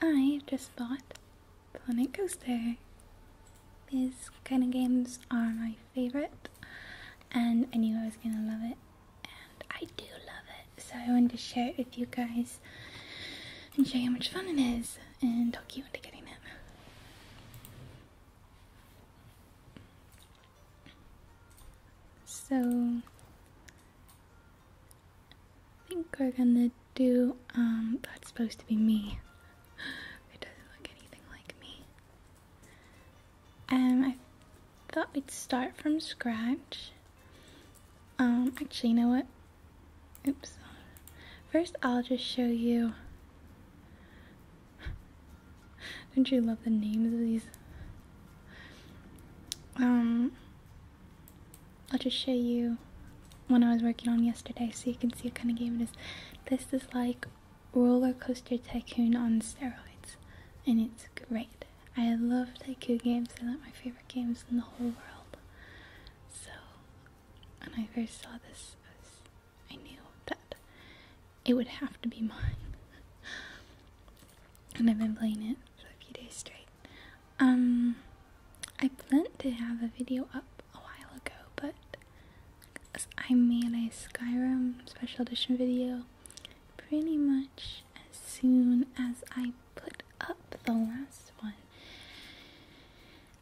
I just bought Planet Coaster. These kind of games are my favorite, and I knew I was gonna love it, and I do love it. So I wanted to share it with you guys and show you how much fun it is, and talk you into getting it. So I think we're gonna do, um, that's supposed to be me. It doesn't look anything like me. Um, I thought we'd start from scratch. Um, actually, you know what? Oops. First, I'll just show you. Don't you love the names of these? Um, I'll just show you one I was working on yesterday so you can see what kind of game it is. This is like Roller Coaster Tycoon on steroids, and it's great. I love tycoon games, they're like my favorite games in the whole world. So, when I first saw this, I knew that it would have to be mine. and I've been playing it a few days straight. Um, I planned to have a video up a while ago, but I made a Skyrim special edition video pretty much as soon as I put up the last one.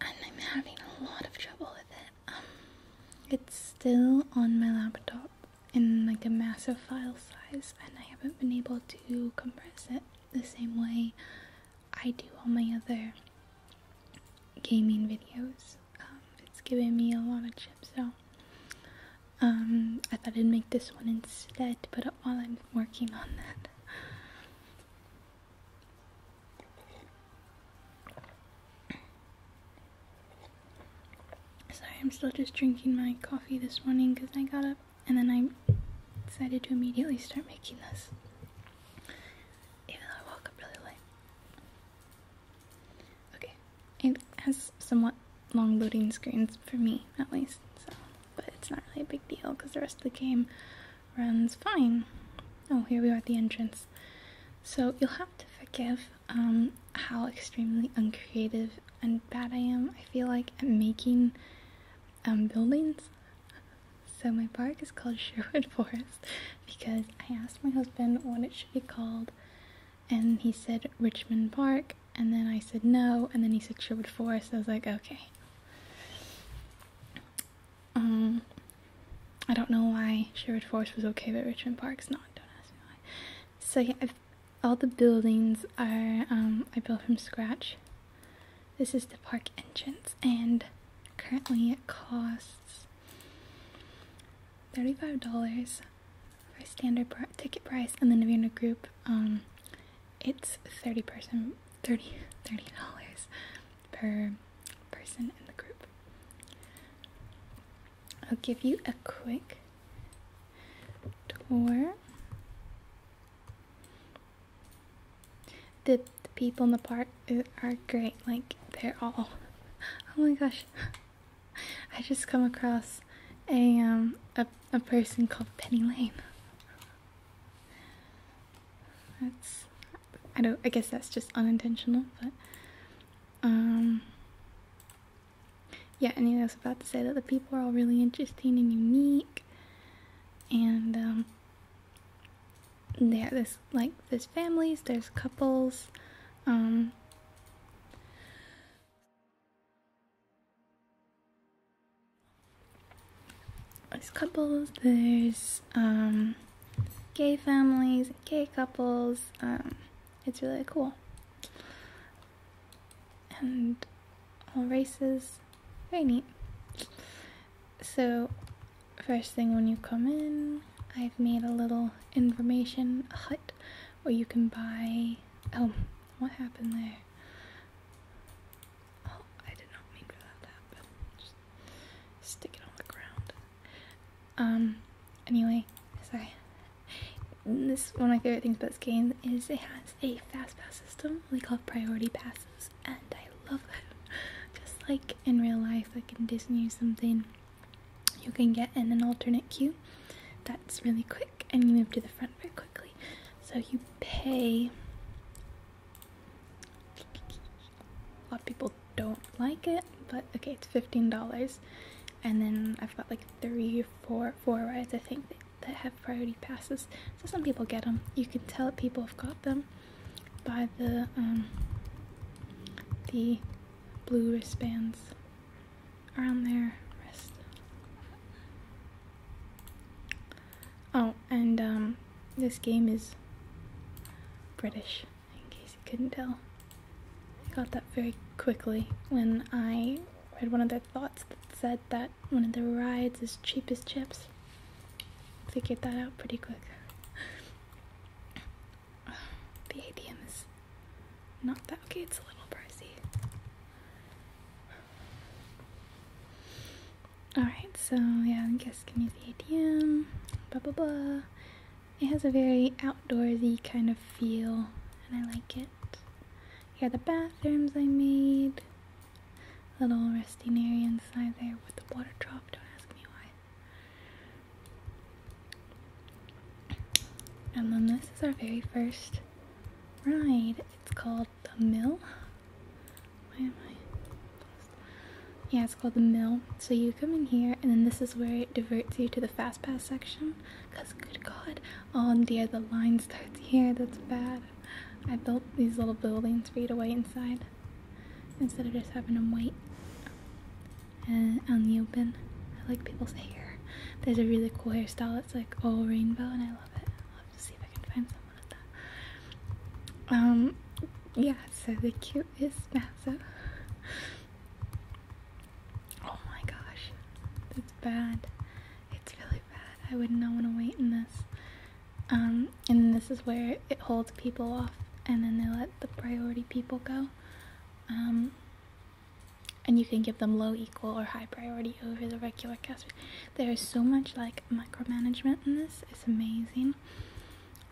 And I'm having a lot of trouble with it. Um, it's still on my laptop in like a massive file size and I haven't been able to compress it the same way I do all my other gaming videos. Um, it's giving me a lot of chips, so um, I thought I'd make this one instead, but while I'm working on that. Sorry, I'm still just drinking my coffee this morning because I got up and then I decided to immediately start making this, even though I woke up really late. Okay, it has somewhat long loading screens for me, at least, so, but it's not really a big deal because the rest of the game runs fine. Oh, here we are at the entrance. So you'll have to forgive um, how extremely uncreative and bad I am. I feel like I'm making um, buildings. So my park is called Sherwood Forest because I asked my husband what it should be called, and he said Richmond Park, and then I said no, and then he said Sherwood Forest. I was like, okay. Um, I don't know why Sherwood Forest was okay, but Richmond Park's not. Don't ask me why. So yeah, I've all the buildings are, um, I built from scratch. This is the park entrance, and currently it costs $35 for standard ticket price, and then if you're in a group, um, it's 30 person, 30, $30 per person in the group. I'll give you a quick tour the, people in the park uh, are great. Like, they're all. Oh my gosh. I just come across a, um, a, a person called Penny Lane. That's. I don't. I guess that's just unintentional, but. Um. Yeah, anyway, I was about to say that the people are all really interesting and unique and um, yeah, this like there's families, there's couples. Um, there's couples, there's um, gay families, gay couples. Um, it's really cool and all races. Very neat. So, first thing when you come in, I've made a little information hut where you can buy. Oh, what happened there? Oh, I did not mean for that to happen. stick it on the ground. Um, anyway, sorry. This one of my favorite things about this game is it has a fast pass system we call priority passes and I love that. Just like in real life, like in Disney or something, you can get in an alternate queue that's really quick and you move to the front very quickly. So you pay a lot of people don't like it, but okay, it's fifteen dollars. And then I've got like three, four, four rides I think that have priority passes. So some people get them. You can tell people have got them by the um, the blue wristbands around their wrist. Oh, and um, this game is British, in case you couldn't tell. I got that very quickly when I read one of the thoughts that said that one of the rides is cheapest chips. Figured that out pretty quick. the ATM is not that okay, it's a little pricey. Alright, so yeah, I guess can use the ATM, blah blah blah. It has a very outdoorsy kind of feel, and I like it. Here are the bathrooms I made little resting area inside there with the water drop. Don't ask me why. And then this is our very first ride. It's called the Mill. Why am I? Yeah, it's called the Mill. So you come in here, and then this is where it diverts you to the Fast Pass section. Cause good God, oh dear, the line starts here. That's bad. I built these little buildings for you to wait inside instead of just having them wait on the open. I like people's hair. There's a really cool hairstyle. It's like all rainbow, and I love it. I'll have to see if I can find someone with that. Um, yeah. So the cute is massive. Oh my gosh, that's bad. It's really bad. I would not want to wait in this. Um, and this is where it holds people off, and then they let the priority people go. Um, and you can give them low, equal, or high priority over the regular cast. There is so much like micromanagement in this. It's amazing.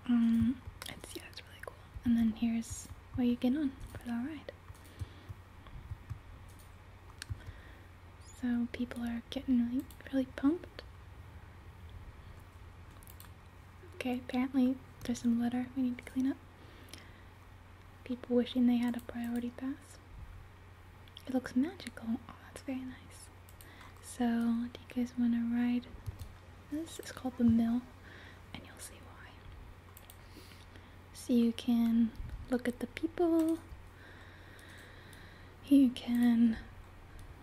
Um, it's yeah, it's really cool. And then here's where you get on for the ride. So people are getting really, really pumped. Okay, apparently there's some litter we need to clean up. People wishing they had a priority pass. It looks magical. Oh, that's very nice. So, do you guys want to ride? This is called the mill, and you'll see why. So you can look at the people, you can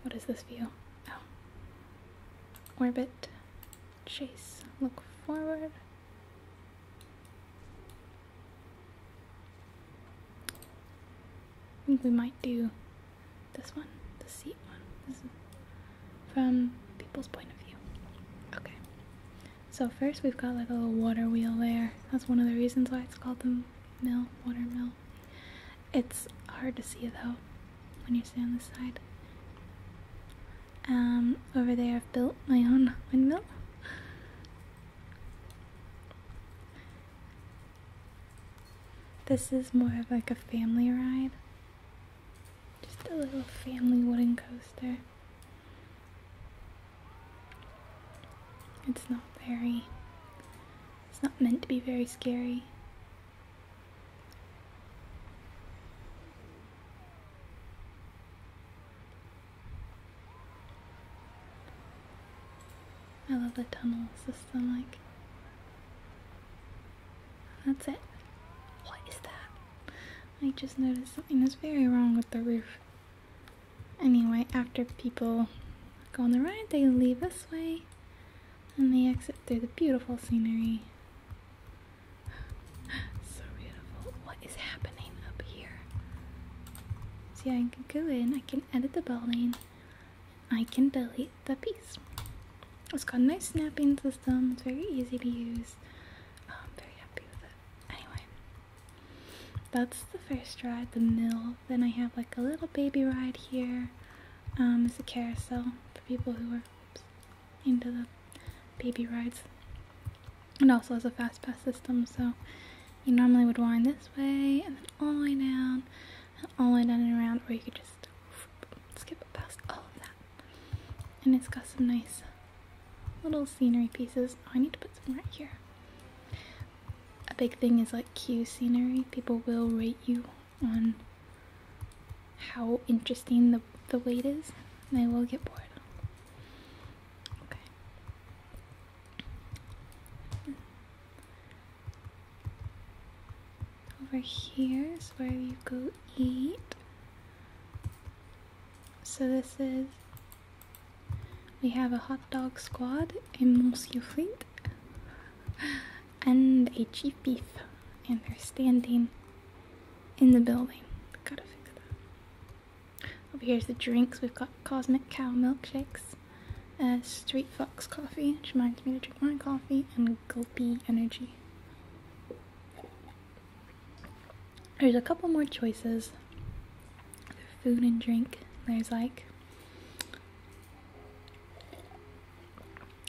what is this view? Oh. Orbit, chase, look forward. I think we might do this one, the seat one. from people's point of view. Okay. So first we've got like a little water wheel there. That's one of the reasons why it's called them mill, water mill. It's hard to see though when you stay on this side. Um, over there I've built my own windmill. This is more of like a family ride. Just a little family wooden coaster. It's not very, it's not meant to be very scary. I love the tunnel system, like, that's it. What is that? I just noticed something is very wrong with the roof. Anyway, after people go on the ride, they leave this way and they exit through the beautiful scenery. so beautiful. What is happening up here? See, I can go in, I can edit the building, I can delete the piece. It's got a nice snapping system, it's very easy to use. Oh, I'm very happy with it. Anyway, that's the first ride, the mill then I have like a little baby ride here. Um, it's a carousel for people who are into the baby rides. It also has a fast pass system, so you normally would wind this way and then all the way down and all the way down and around, or you could just skip past all of that. And it's got some nice little scenery pieces. Oh, I need to put some right here a big thing is like Q scenery. People will rate you on how interesting the, the wait is, and I will get bored. Okay. Over here is where you go eat. So this is we have a hot dog squad, a monsieur fleet, and a chief beef, and they're standing in the building. Over here's the drinks. We've got Cosmic Cow milkshakes, uh, Street Fox coffee, which reminds me to drink my coffee, and Gulpy Energy. There's a couple more choices for food and drink. There's like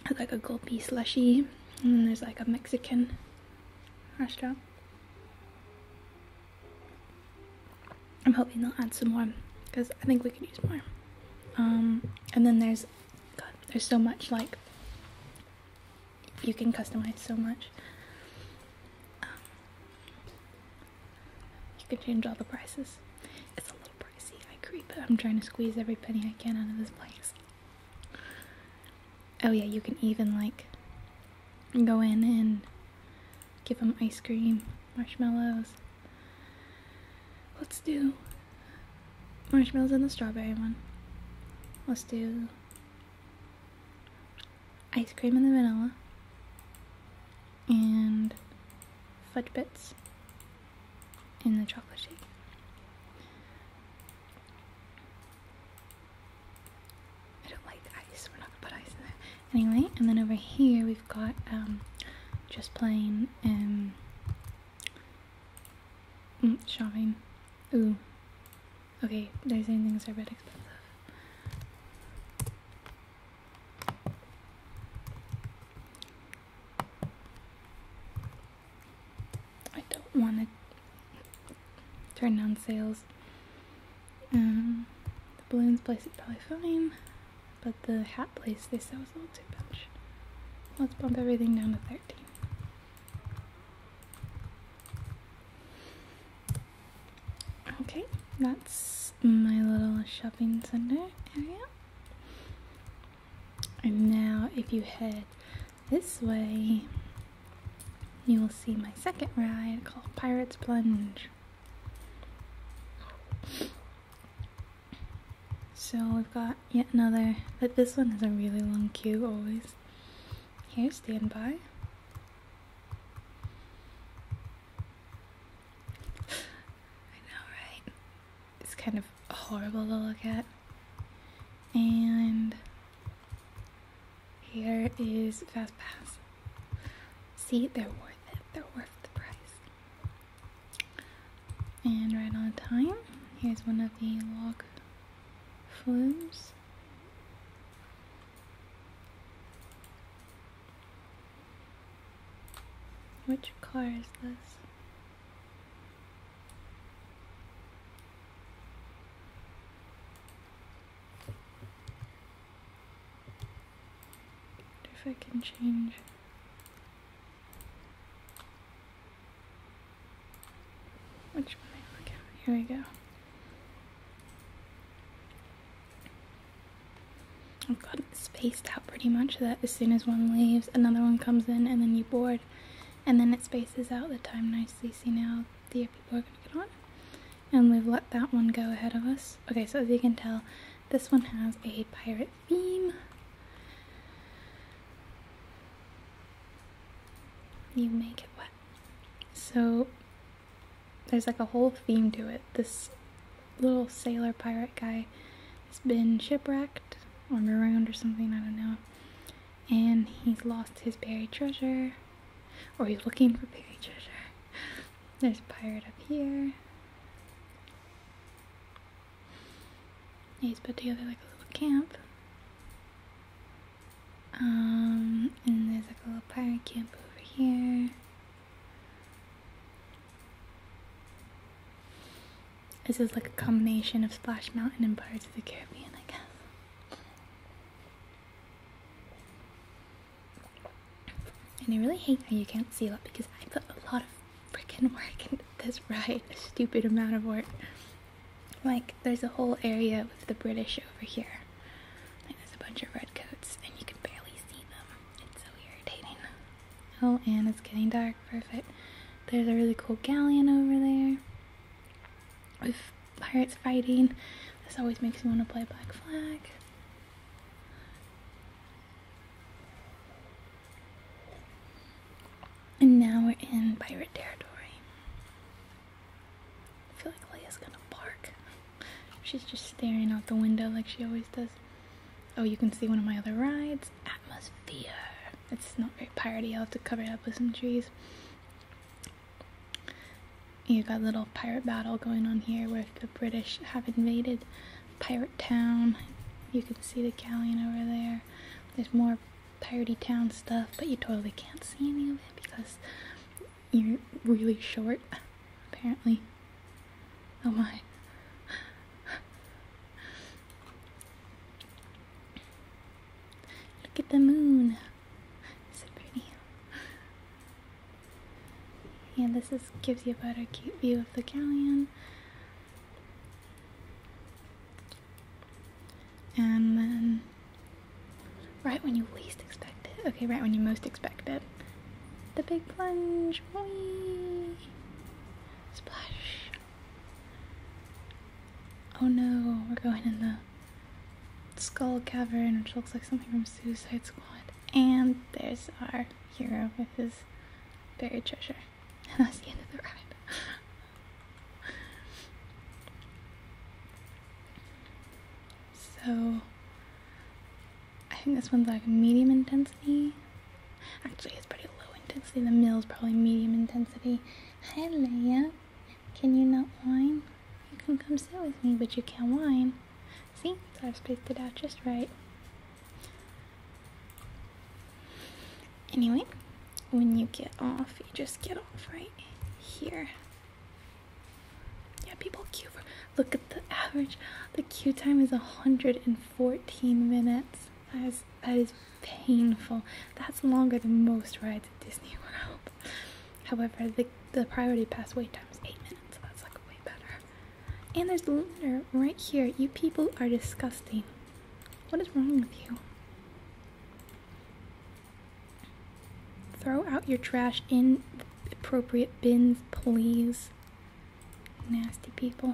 there's like a gulpy slushy, and then there's like a Mexican restaurant. I'm hoping they'll add some more because I think we could use more. Um, and then there's, there's so much like you can customize so much. You can change all the prices. It's a little pricey, I agree, but I'm trying to squeeze every penny I can out of this place. Oh yeah, you can even like go in and give them ice cream, marshmallows. Let's do marshmallows and the strawberry one. Let's do ice cream and the vanilla and fudge bits in the chocolate shake. I don't like ice, we're not gonna put ice in there. Anyway, and then over here we've got um, just plain um, mm, shopping. Ooh. Okay, did I say anything that's a bit expensive? I don't want to turn down sales. Um, the balloons place is probably fine, but the hat place they said was a little too much. Let's bump everything down to 13. Okay, that's my little shopping center area. And now, if you head this way, you will see my second ride called Pirates Plunge. So we've got yet another, but this one has a really long queue always. Here, stand by. I know, right? It's kind of horrible to look at. And here is Fast Pass. See, they're worth it. They're worth the price. And right on time, here's one of the log flumes. Which car is this? If I can change. Which one Here we go. I've gotten spaced out pretty much that as soon as one leaves, another one comes in and then you board. And then it spaces out the time nicely. See now the people are going to get on. And we've let that one go ahead of us. Okay, so as you can tell, this one has a pirate theme. You make it wet. So there's like a whole theme to it. This little sailor pirate guy has been shipwrecked or marooned or something, I don't know. And he's lost his buried treasure, or he's looking for buried treasure. There's a pirate up here. He's put together like a little camp. Um, and there's like a little pirate camp over here. This is like a combination of Splash Mountain and Pirates of the Caribbean, I guess. And I really hate how you can't see a lot because I put a lot of freaking work into this ride, a stupid amount of work. Like, there's a whole area with the British over here. there's a bunch of redcoats, and you can barely see them. It's so irritating. Oh, and it's getting dark. Perfect. There's a really cool galleon over there with pirates fighting. This always makes me want to play Black Flag. And now we're in pirate territory. I feel like Leia's gonna bark. She's just staring out the window like she always does. Oh, you can see one of my other rides, Atmosphere. It's not very piratey, I'll have to cover it up with some trees. You got a little pirate battle going on here where the British have invaded Pirate Town. You can see the galleon over there. There's more piratey town stuff, but you totally can't see any of it because you're really short, apparently. Oh my. Look at the moon. So pretty. And this is gives you a better cute view of the galleon. And then right when you least expect it. Okay, right when you most expect it. The big plunge. Whee! Splash. Oh no, we're going in the skull cavern, which looks like something from Suicide Squad. And there's our hero with his buried treasure. And that's the end of the ride. so I think this one's like medium intensity. Actually, it's pretty low intensity. The meal's probably medium intensity. Hi, Leia. Can you not whine? You can come sit with me, but you can't whine. See? I've spaced it out just right. Anyway, when you get off, you just get off right here. Yeah, people queue for. Look at the average. The queue time is 140 14 minutes. That is, that is painful. That's longer than most rides at Disney World. However, the, the priority pass wait time is 8 minutes, so that's like way better. And there's litter right here. You people are disgusting. What is wrong with you? Throw out your trash in appropriate bins, please. Nasty people.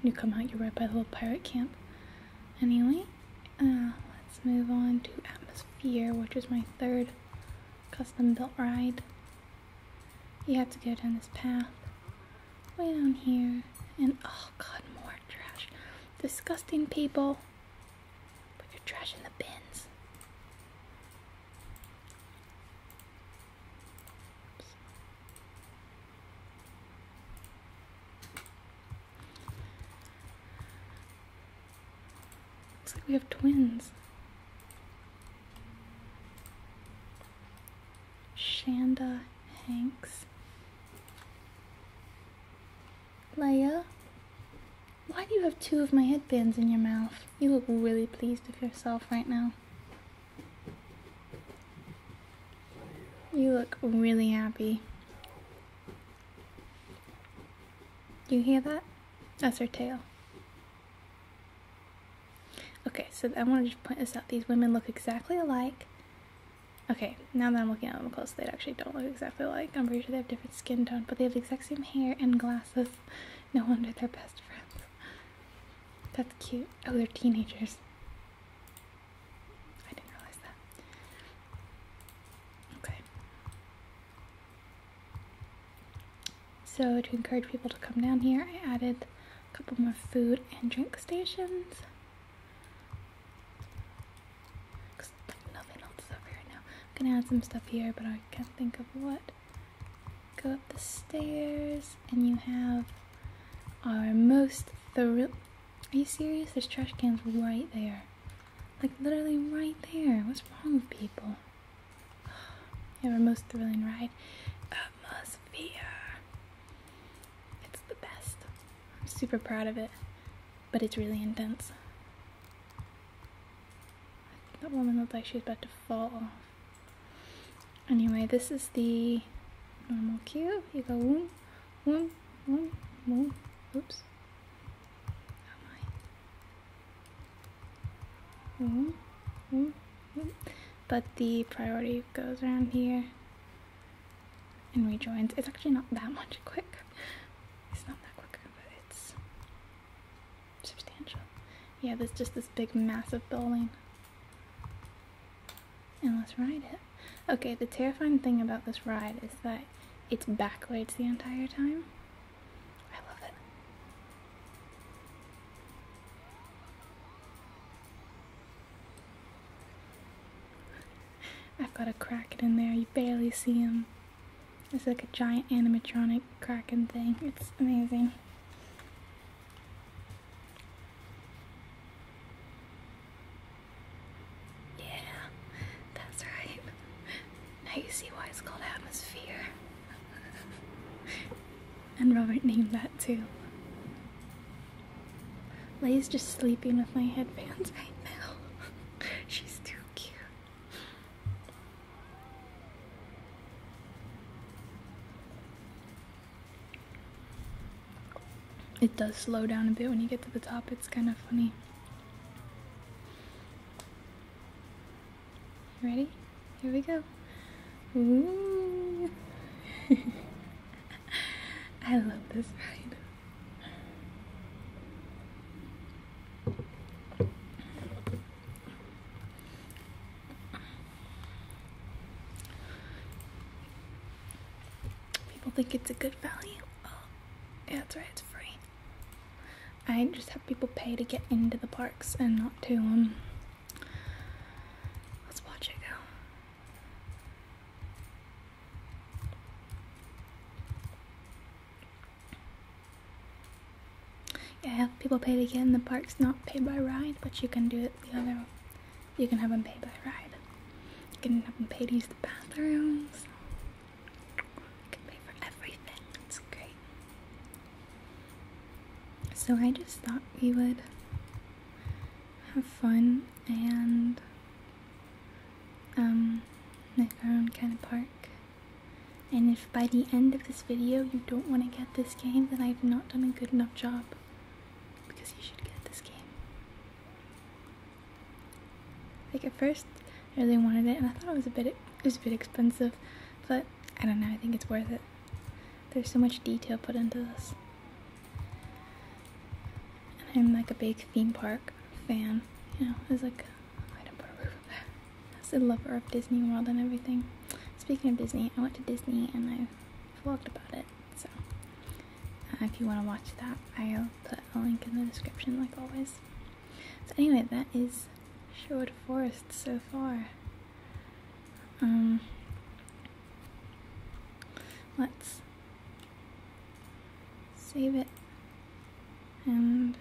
When you come out, you're right by the little pirate camp. Anyway, uh, let's move on to Atmosphere, which is my third custom built ride. You have to go down this path, way down here, and oh god, more trash. Disgusting people. Put your trash in the bins. Looks like we have twins. Shanda Hanks. Leia, why do you have two of my headbands in your mouth? You look really pleased with yourself right now. You look really happy. You hear that? That's her tail. Okay, so I want to just point this out. These women look exactly alike. Okay, now that I'm looking at them close, they actually don't look exactly alike. I'm pretty sure they have different skin tone, but they have the exact same hair and glasses. No wonder they're best friends. That's cute. Oh, they're teenagers. I didn't realize that. Okay. So, to encourage people to come down here, I added a couple more food and drink stations. Because nothing else is over right now. I'm gonna add some stuff here, but I can't think of what. Go up the stairs, and you have our most thrilling. Are you serious? There's trash cans right there. Like, literally right there. What's wrong with people? You our most thrilling ride. Atmosphere. It's the best. I'm super proud of it, but it's really intense. That woman looked like she was about to fall off. Anyway, this is the normal cue. You go woom, woom, woom, woom. Oops. Oh my. Woom, But the priority goes around here and rejoins. It's actually not that much quick. It's not that quick, but it's substantial. Yeah, there's just this big, massive building. And let's ride it. Okay, the terrifying thing about this ride is that it's backwards the entire time. I love it. I've got a kraken in there. You barely see him. It's like a giant animatronic kraken thing. It's amazing. Yeah, that's right. Now you see why it's called atmosphere. and Robert named that too. Lay's just sleeping with my headbands right now. She's too cute. It does slow down a bit when you get to the top, it's kind of funny. ready? Here we go. Ooh. I love this ride. People think it's a good value. Oh, yeah, that's right, it's free. I just have people pay to get into the parks and not to, um, let's watch it go. Yeah, people pay to get in the park's not pay by ride, but you can do it the other way. You can have them pay by ride. You can have them pay to use the bathrooms. You can pay for everything. It's great. So I just thought we would have fun and um, make our own kind of park. And if by the end of this video you don't want to get this game, then I've not done a good enough job because you should get this game. Like at first, I really wanted it, and I thought it was a bit it was a bit expensive, but I don't know. I think it's worth it. There's so much detail put into this. And I'm like a big theme park fan. You know, I was like, I am a lover of Disney World and everything. Speaking of Disney, I went to Disney and I vlogged about it. So uh, if you want to watch that, I'll put a link in the description like always. So anyway, that is short Forest so far. Um, let's save it and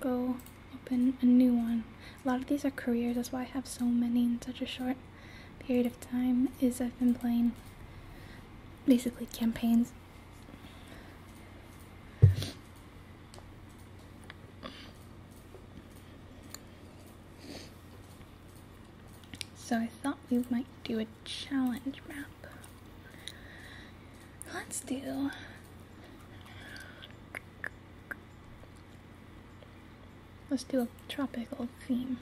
go open a new one a lot of these are careers that's why i have so many in such a short period of time is i've been playing basically campaigns so i thought we might do a challenge map let's do Let's do a tropical theme.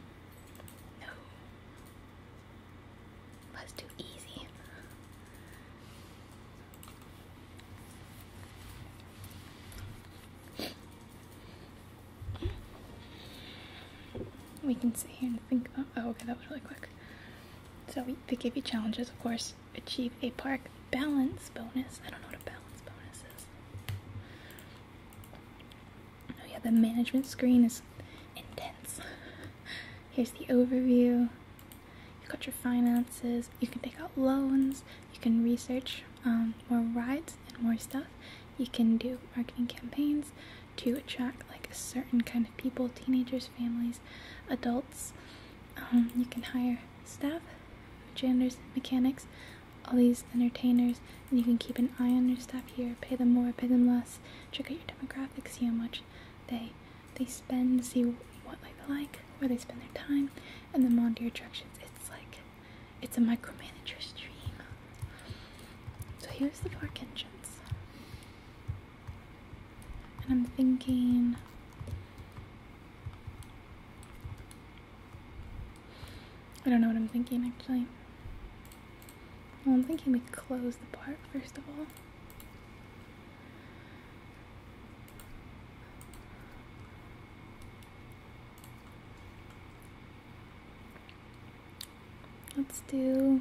No. Let's do easy. We can sit here and think Oh, okay, that was really quick. So we, they give you challenges, of course. Achieve a park balance bonus. I don't know what a balance bonus is. Oh yeah, the management screen is intense. Here's the overview. You've got your finances. You can take out loans. You can research um, more rides and more stuff. You can do marketing campaigns to attract like a certain kind of people, teenagers, families, adults. Um, you can hire staff, janitors, mechanics, all these entertainers, and you can keep an eye on your staff here. Pay them more, pay them less. Check out your demographics, see how much they they spend, see what they like, where they spend their time, and then monitor your directions. It's like it's a micromanager's dream. So here's the park entrance, and I'm thinking. I don't know what I'm thinking actually. I'm thinking we close the part first of all. Let's do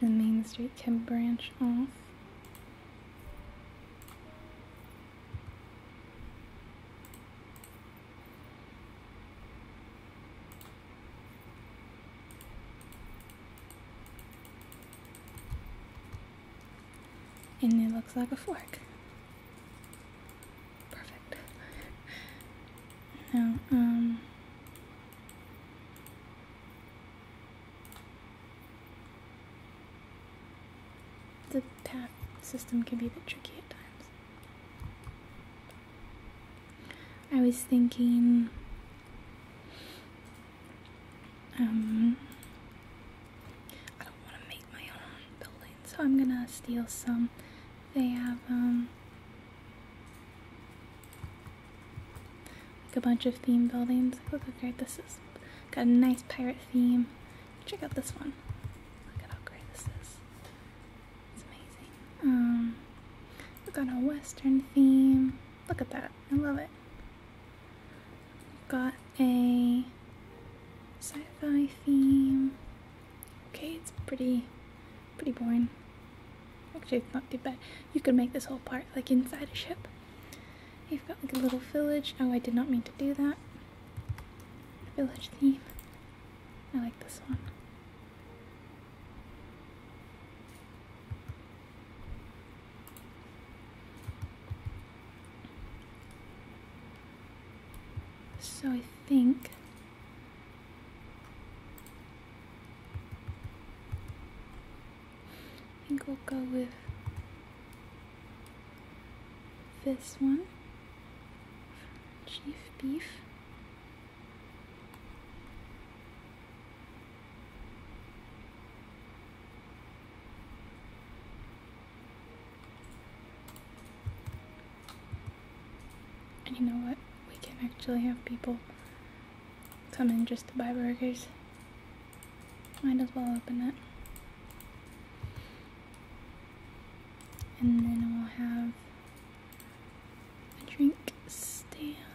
The main street can branch off. And it looks like a fork. Perfect. now, um. The path system can be a bit tricky at times. I was thinking. Um, I don't want to make my own building, so I'm gonna steal some. They have um, like a bunch of theme buildings. Look how great this is. Got a nice pirate theme. Check out this one. Look at how great this is. It's amazing. Um, we got a western theme. Look at that. I love it. Got a sci-fi theme. Okay, it's pretty, pretty boring. Actually, it's not too bad. You could make this whole part like inside a ship. You've got like a little village. Oh, I did not mean to do that. Village theme. I like this one. So I think I think we'll go with this one, Chief Beef you know what? We can actually have people come in just to buy burgers. Might as well open it. And then we'll have a drink stand.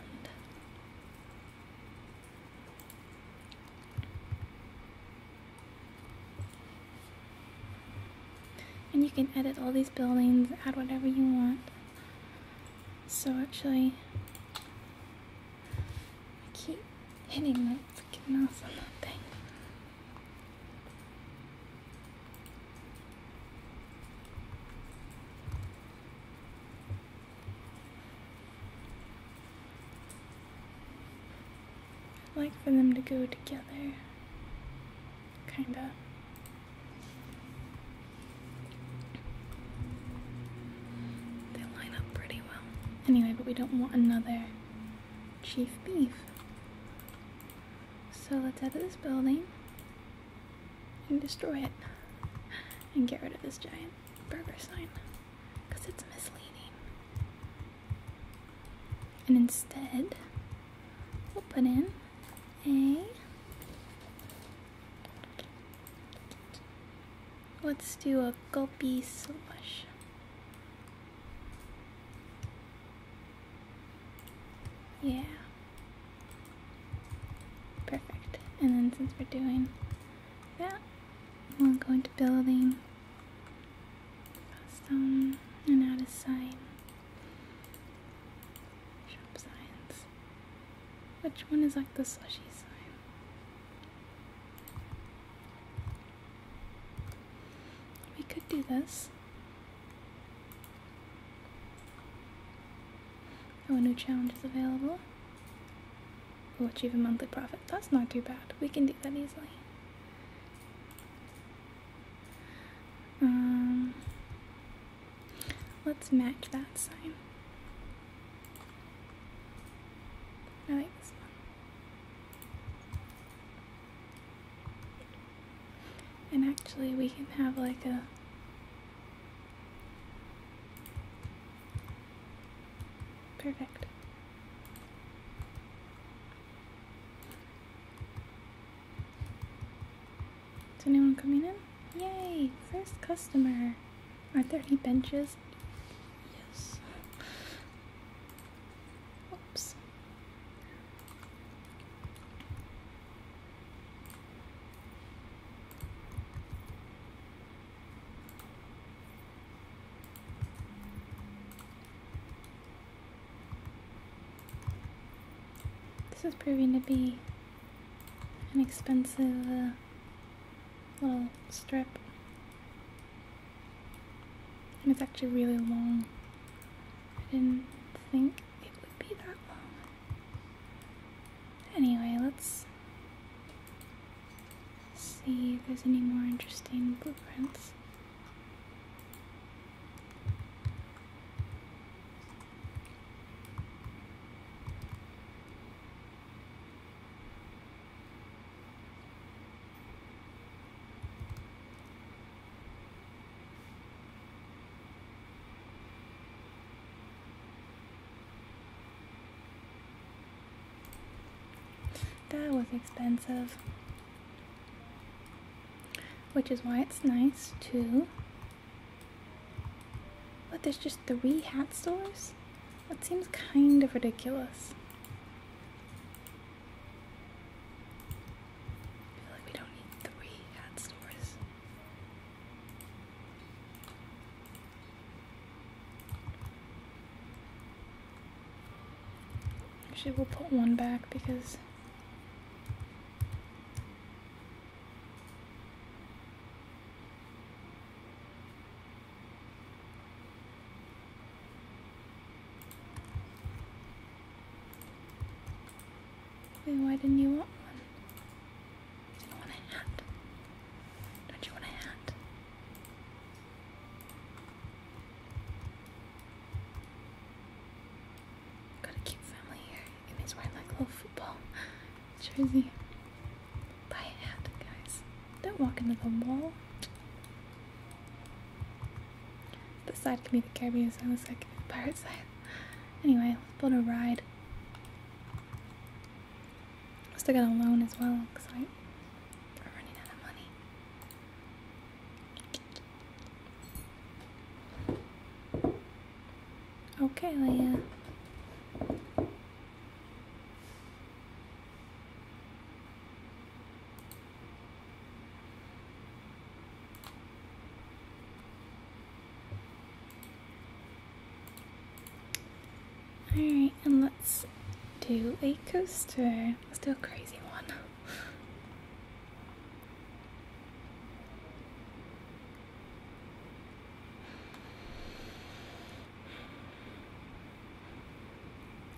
And you can edit all these buildings, add whatever you want. So actually, I keep hitting my freaking mouse on that thing. I like for them to go together. Kinda. They line up pretty well. Anyway, but we don't want another chief beef. So let's out of this building and destroy it and get rid of this giant burger sign because it's misleading. And instead, we'll put in a, let's do a gulpy slush. Yeah. Perfect. And then since we're doing that, we'll go into building Custom and how to sign. Shop signs. Which one is like the slushy sign? We could do this. Oh, a new challenge is available. We'll achieve a monthly profit. That's not too bad. We can do that easily. Um, let's match that sign. I like this one. And actually, we can have like a perfect. Is anyone coming in? Yay! First customer. Are there any benches? Yes. Oops. This is proving to be an expensive uh, little strip. And it's actually really long. I didn't think it would be that long. Anyway, let's see if there's any more interesting blueprints. That was expensive which is why it's nice to but there's just three hat stores that seems kind of ridiculous feel like we don't need three hat stores Actually, we'll put one back because why didn't you want one? You want a hat. Don't you want a hat? Gotta keep family here. It makes wearing like a little football jersey. Buy a hat, guys. Don't walk into the wall. This side can be the Caribbean side, this side can be the pirate side. Anyway, let's build a ride. I still got a loan as well, because I we're running out of money. Okay, Leia. Alright, and let's do a coaster. Let's do a crazy one.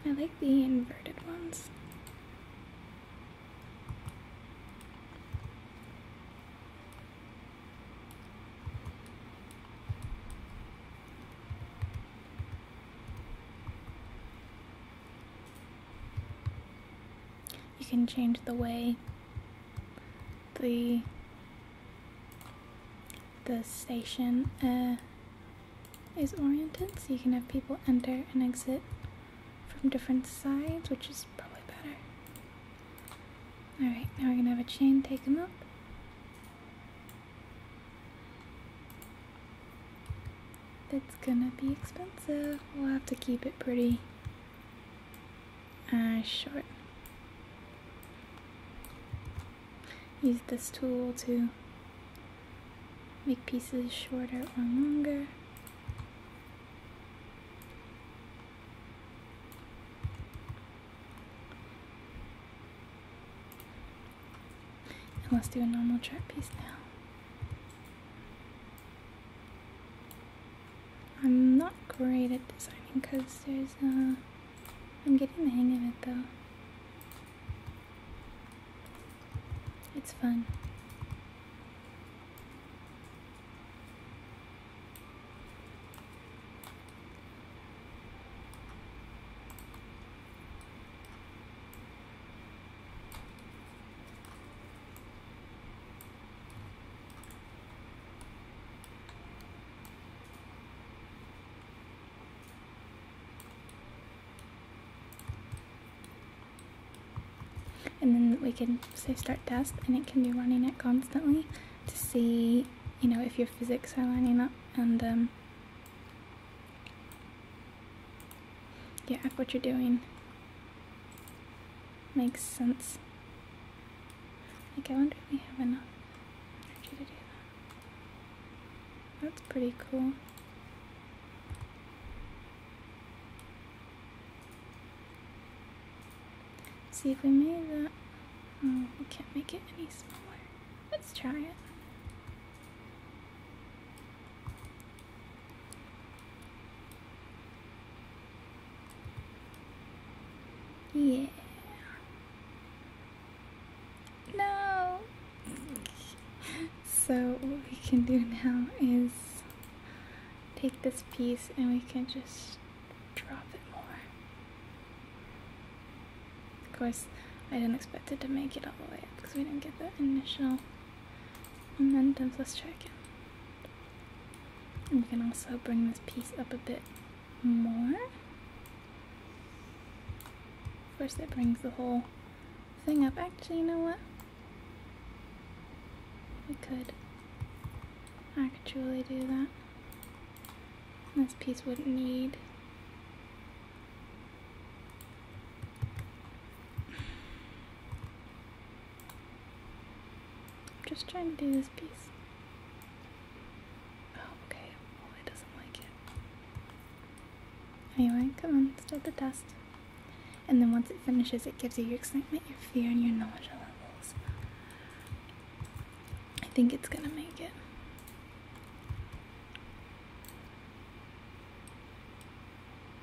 I like the inverted ones. You can change the way the the station uh, is oriented, so you can have people enter and exit from different sides, which is probably better. Alright, now we're gonna have a chain take them up. It's gonna be expensive. We'll have to keep it pretty uh, short. Use this tool to make pieces shorter or longer. And let's do a normal chart piece now. I'm not great at designing because there's uh I'm getting the hang of it though. It's fun and then we can say start test and it can be running it constantly to see you know if your physics are lining up and um, yeah, what you're doing makes sense. Like, I wonder if we have enough energy to do that. That's pretty cool. see if we made that. Oh, we can't make it any smaller. Let's try it. Yeah. No! So what we can do now is take this piece and we can just drop it more. Of course, I didn't expect it to make it all the way up because we didn't get the initial and then does this check And we can also bring this piece up a bit more. Of course, that brings the whole thing up. Actually, you know what? We could actually do that. This piece wouldn't need I'm just trying to do this piece. Oh, okay. Well, oh, it doesn't like it. Anyway, come on, start the test. And then once it finishes, it gives you your excitement, your fear, and your nausea levels. I think it's gonna make it.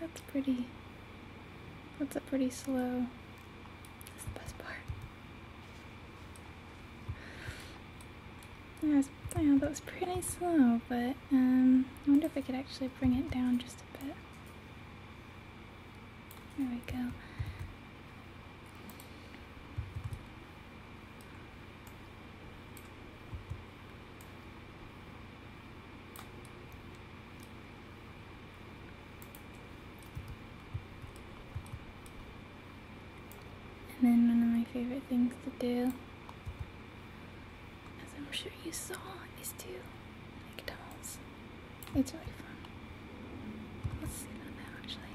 That's pretty. That's a pretty slow. That's the best part. Yeah, that was pretty slow, but um, I wonder if I could actually bring it down just a bit. There we go. And then one of my favorite things to do, as I'm sure you saw, is to make dolls. It's really fun. Let's sit on that actually.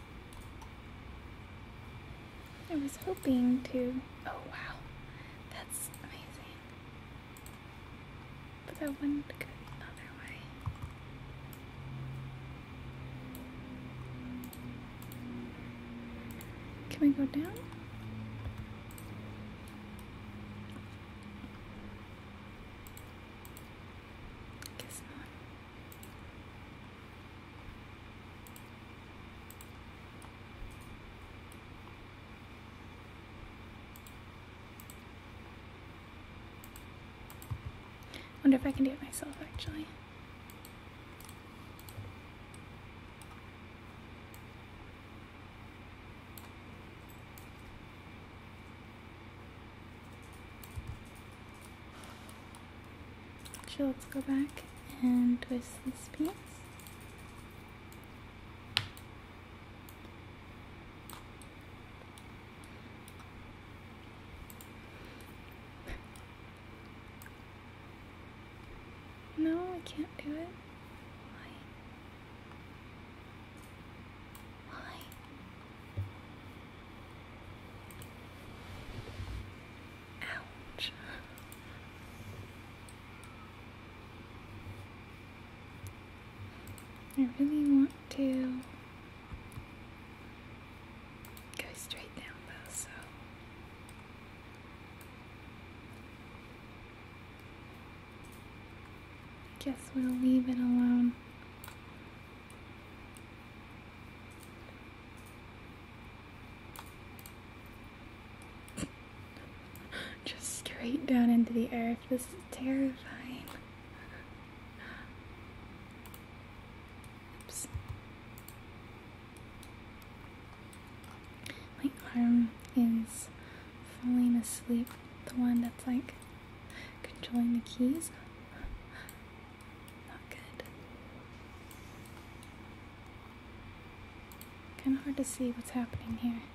I was hoping to. Oh wow, that's amazing. But that one could go the way. Can we go down? Guess not wonder if I can do it myself actually. So let's go back and twist this piece. No, I can't do it. Why? Why? Ouch. I really want to go straight down though, so I guess we'll leave it alone. Just straight down into the earth. This is terrifying. My arm is falling asleep. The one that's like controlling the keys. Not good. Kind of hard to see what's happening here.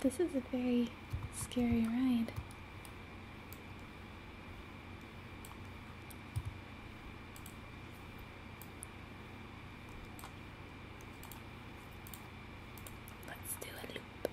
This is a very scary ride. Let's do a loop.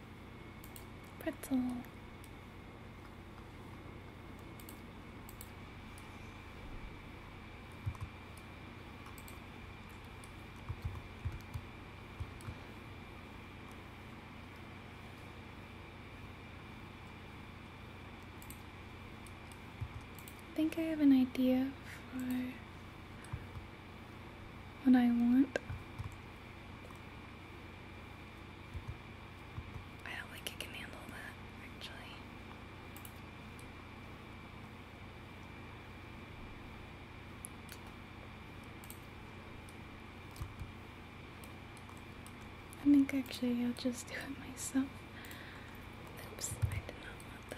pretzel. I think I have an idea for what I want. I don't think it can handle that, actually. I think actually I'll just do it myself. Oops, I did not want that.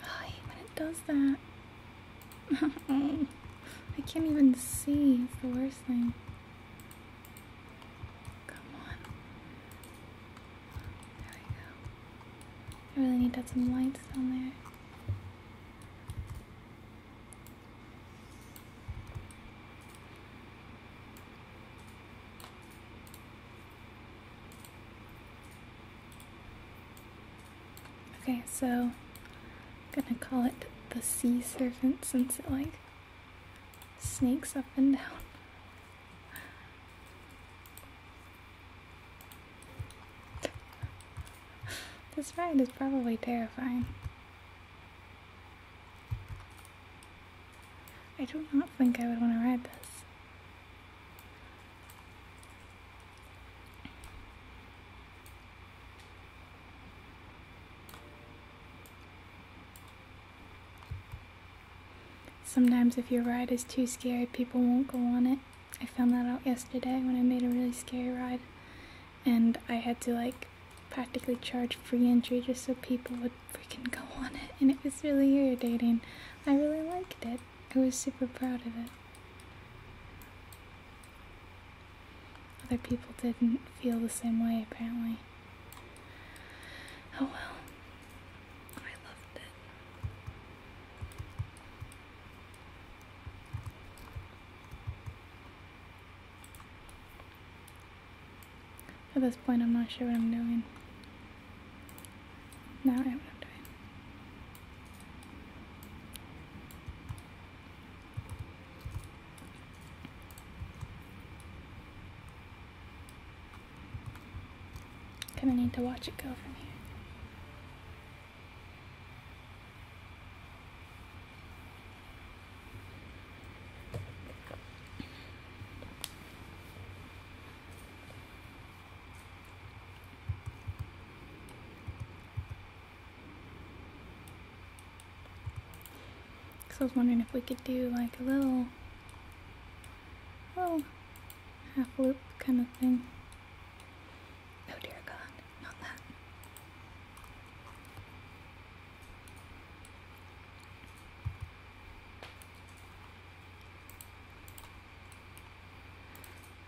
Hi, when it does that, I can't even see. It's the worst thing. Come on. There we go. I really need to add some lights down there. Okay, so I'm gonna call it the sea serpent since it like snakes up and down. this ride is probably terrifying. I do not think I would want to ride this. Sometimes if your ride is too scary, people won't go on it. I found that out yesterday when I made a really scary ride and I had to like practically charge free entry just so people would freaking go on it and it was really irritating. I really liked it. I was super proud of it. Other people didn't feel the same way, apparently. Oh well. I loved it. At this point, I'm not sure what I'm doing. No, I am doing. Kinda need to watch it go from here. Cause I was wondering if we could do like a little, little half loop kind of thing. Oh dear God, not that.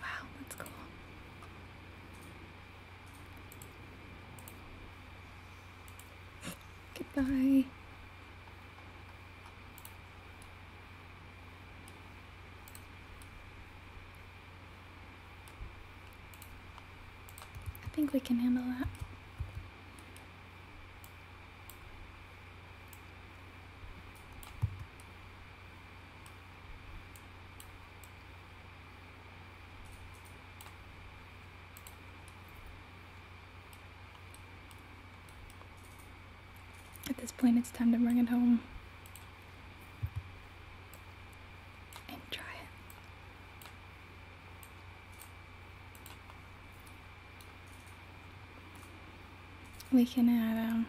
Wow, that's cool. Goodbye. I think we can handle that. At this point, it's time to bring it home. And try it. We can add um,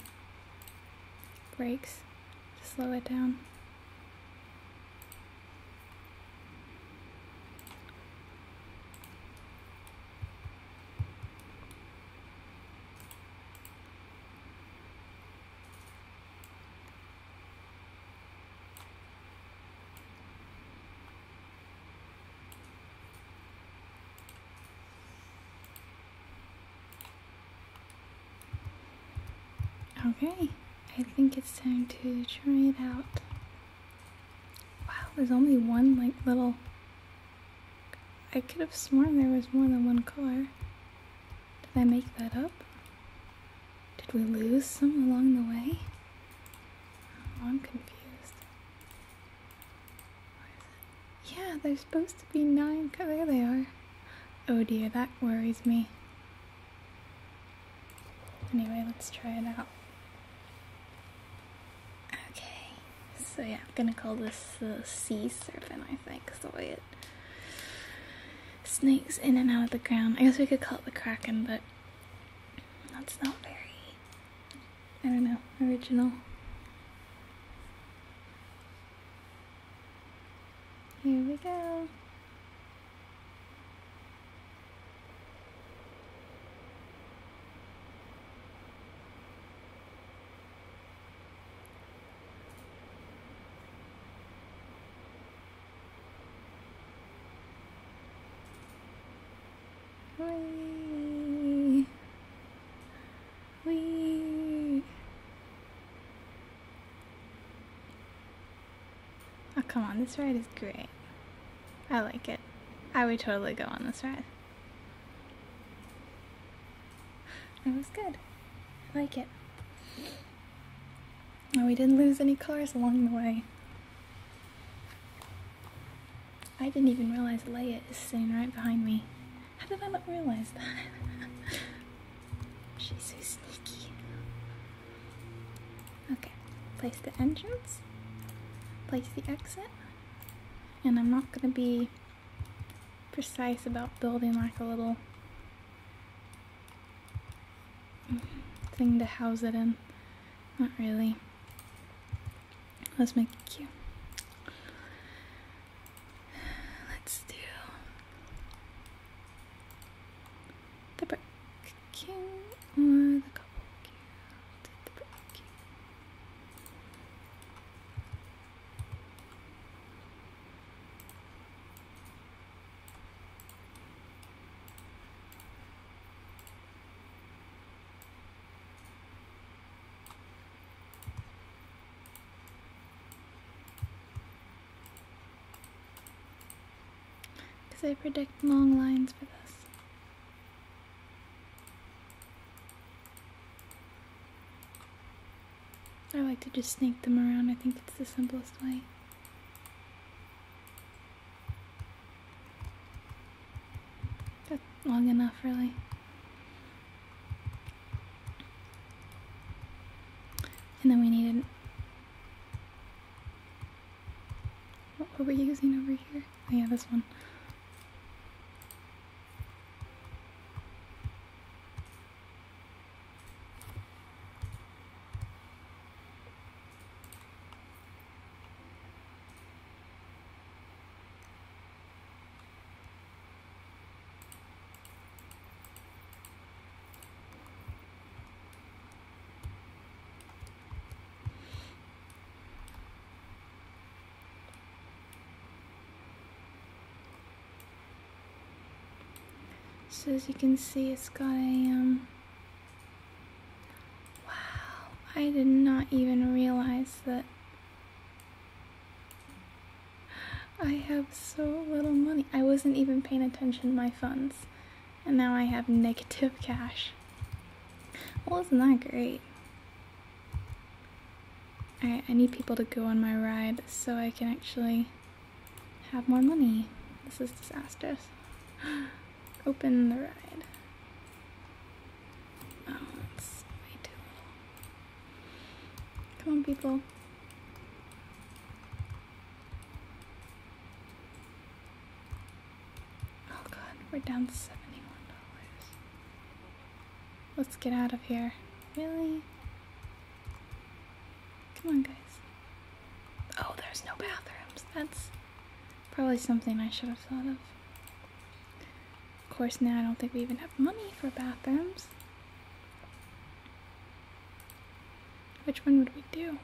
brakes to slow it down. Okay, I think it's time to try it out. Wow, there's only one like little. I could have sworn there was more than one car. Did I make that up? Did we lose some along the way? Oh, I'm confused. Yeah, there's supposed to be nine. There they are. Oh dear, that worries me. Anyway, let's try it out. Okay, so yeah, I'm gonna call this the sea serpent, I think, is the way it snakes in and out of the ground. I guess we could call it the kraken, but that's not very I don't know, original. Here we go. Wee. Wee. Oh, come on, this ride is great. I like it. I would totally go on this ride. That was good. I like it. And we didn't lose any cars along the way. I didn't even realize Leia is sitting right behind me. How did I not realize that? She's so sneaky. Okay, place the entrance, place the exit, and I'm not going to be precise about building like a little thing to house it in. Not really. Let's make it cute. Let's do the brick king or the couple king. the brick king. Because I predict long lines for this. I like to just snake them around. I think it's the simplest way. That's long enough, really. And then we needed. What were we using over here? Oh, yeah, this one. So as you can see, it's got a um, Wow, I did not even realize that I have so little money. I wasn't even paying attention to my funds. And now I have negative cash. Well, isn't that great? Alright, I need people to go on my ride so I can actually have more money. This is disastrous. Open the ride. Oh, Come on, people. Oh god, we're down $71. let us get out of here. Really? Come on, guys. Oh, there's no bathrooms. That's Probably something I should have thought of. Of course, now I don't think we even have money for bathrooms. Which one would we do?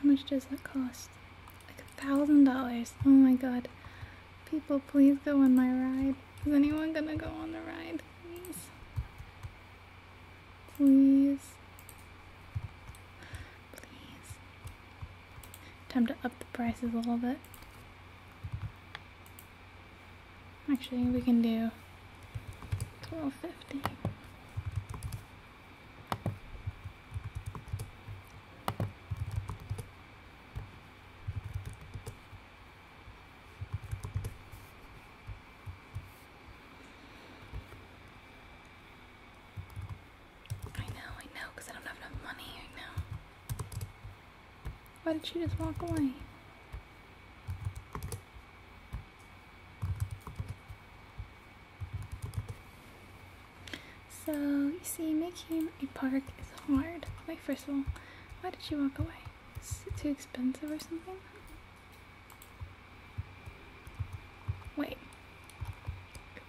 How much does that cost? Like a thousand dollars. Oh my god. People, please go on my ride. Is anyone gonna go on the ride? Please. Please. Please. Time to up the prices a little bit. Actually, we can do 1250. I know, I know, because I don't have enough money right now. Why did she just walk away? So, you see, making a park is hard. Like, first of all, why did she walk away? Is it too expensive or something? Wait.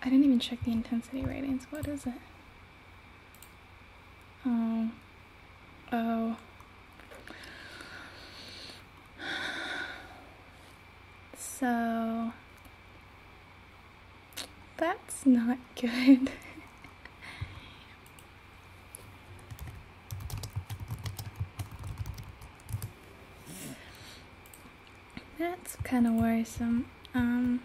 I didn't even check the intensity ratings. What is it? Oh, Oh. So that's not good. that's kind of worrisome. Um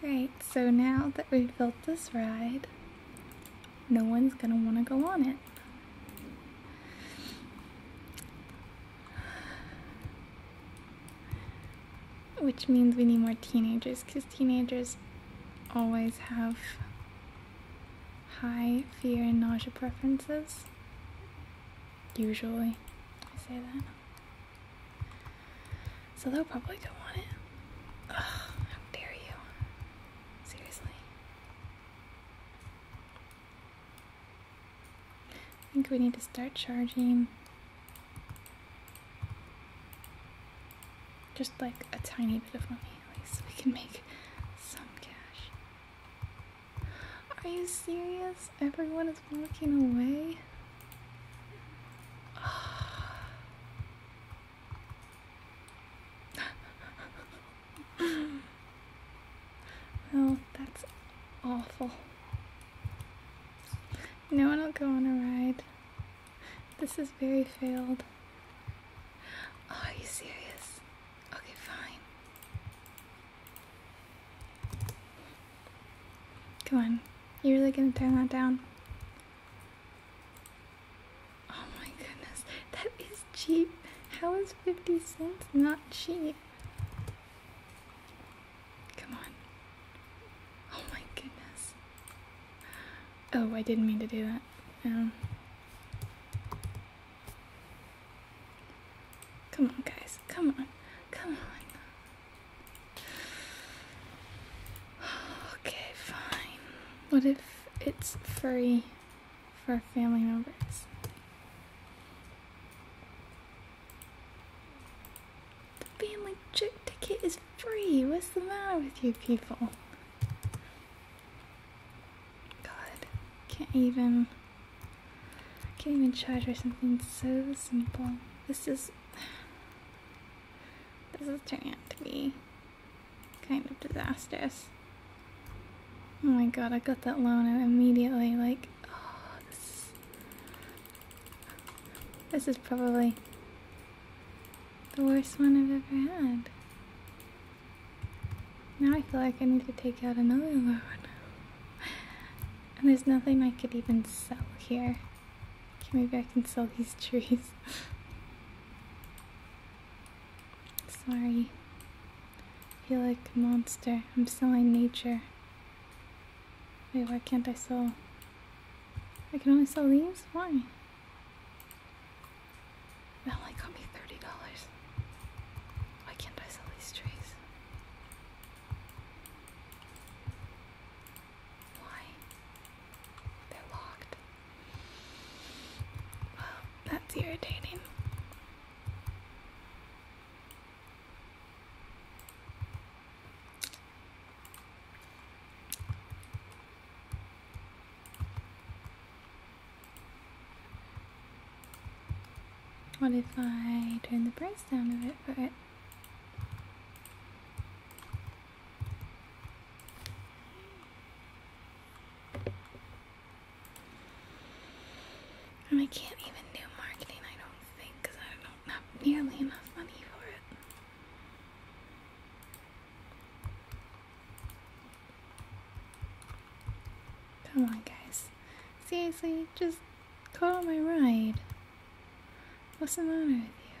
Great, so now that we've built this ride, no one's gonna wanna go on it. Which means we need more teenagers, because teenagers always have high fear and nausea preferences. Usually, I say that. So they'll probably go on it. how dare you. Seriously. I think we need to start charging just like a tiny bit of money at least so we can make some cash. Are you serious? Everyone is walking away? oh, that's awful. No one will go on a ride. This is very failed. Oh, are you serious? Okay, fine. Come on. You really gonna turn that down? Oh my goodness, that is cheap. How is 50 cents not cheap? Come on. Oh my goodness. Oh, I didn't mean to do that. Um, come on, guys. Come on. Come on. Okay, fine. What if it's free for family members? The family trip ticket is free. What's the matter with you people? God, can't even can't even charge for something so simple. This is this is turning out to be kind of disastrous. Oh my god, I got that loan and immediately like, oh, this is probably the worst one I've ever had. Now I feel like I need to take out another loan. And there's nothing I could even sell here. Okay, maybe I can sell these trees. Sorry. I feel like a monster. I'm selling nature. Wait, why can't I sell? I can only sell these? Why? That got me $30. Why can't I sell these trees? Why? They're locked. Well, that's irritating. What if I turn the price down a bit for it? I can't even do marketing, I don't think, because I don't have nearly enough money for it. Come on, guys. Seriously, just call my ride. What's the matter with you?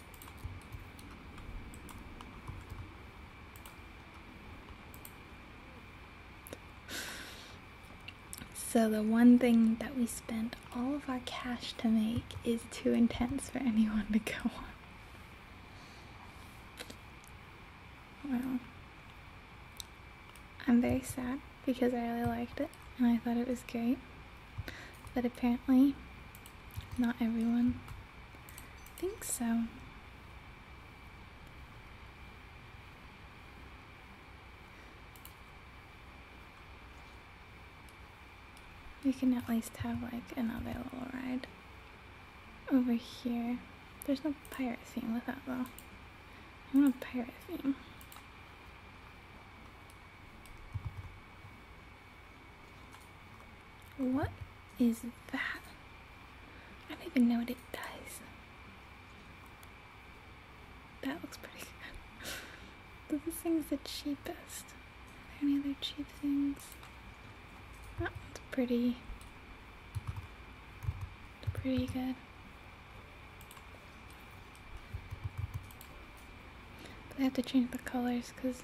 So the one thing that we spent all of our cash to make is too intense for anyone to go on. Well, I'm very sad because I really liked it and I thought it was great, but apparently not everyone I think so. We can at least have like another little ride over here. There's no pirate theme with that though. I want a pirate theme. What is that? I don't even know what it does. That looks pretty good. but this thing's the cheapest. Are there any other cheap things? That one's pretty. Pretty good. But I have to change the colors because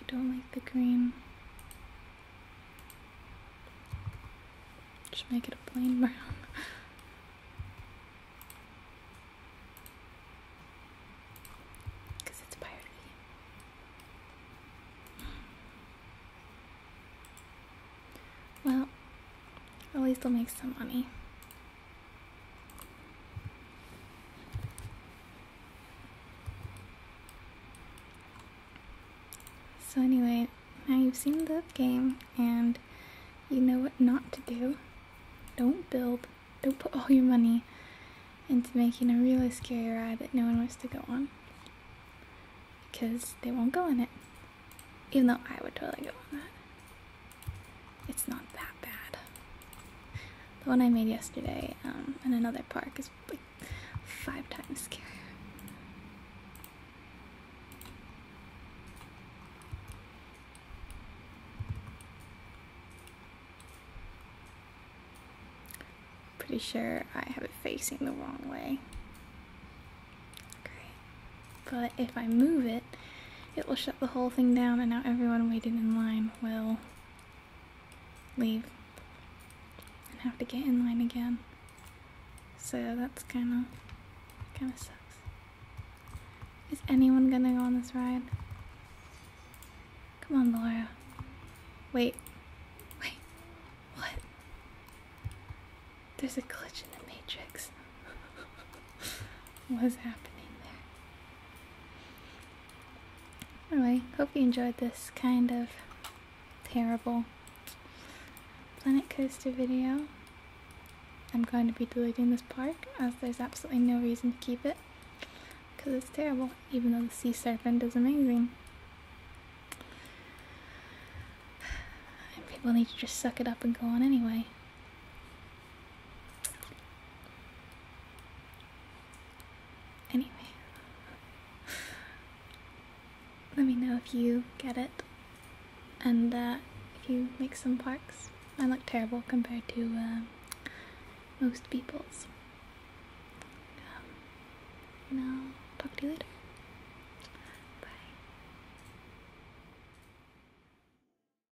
I don't like the green. Just make it a plain brown. Because it's piratey. Well, at least I'll make some money. So anyway, now you've seen the game and you know what not to do. Don't build, don't put all your money into making a really scary ride that no one wants to go on. Because they won't go in it. Even though I would totally go on that it's not that bad. The one I made yesterday um, in another park is like five times scarier. Pretty sure I have it facing the wrong way. Great. But if I move it, it, will shut the whole thing down, and now everyone waiting in line will leave and have to get in line again. So that's kind of kind of sucks. Is anyone gonna go on this ride? Come on, Laura. Wait. Wait. What? There's a glitch in the matrix. What's happening there. Anyway, hope you enjoyed this kind of terrible Planet Coaster video. I'm going to be deleting this park as there's absolutely no reason to keep it because it's terrible, even though the sea serpent is amazing. people need to just suck it up and go on anyway. Anyway, let me know if you get it and uh, if you make some parks. I look terrible compared to uh, most people's. Um, talk to you later.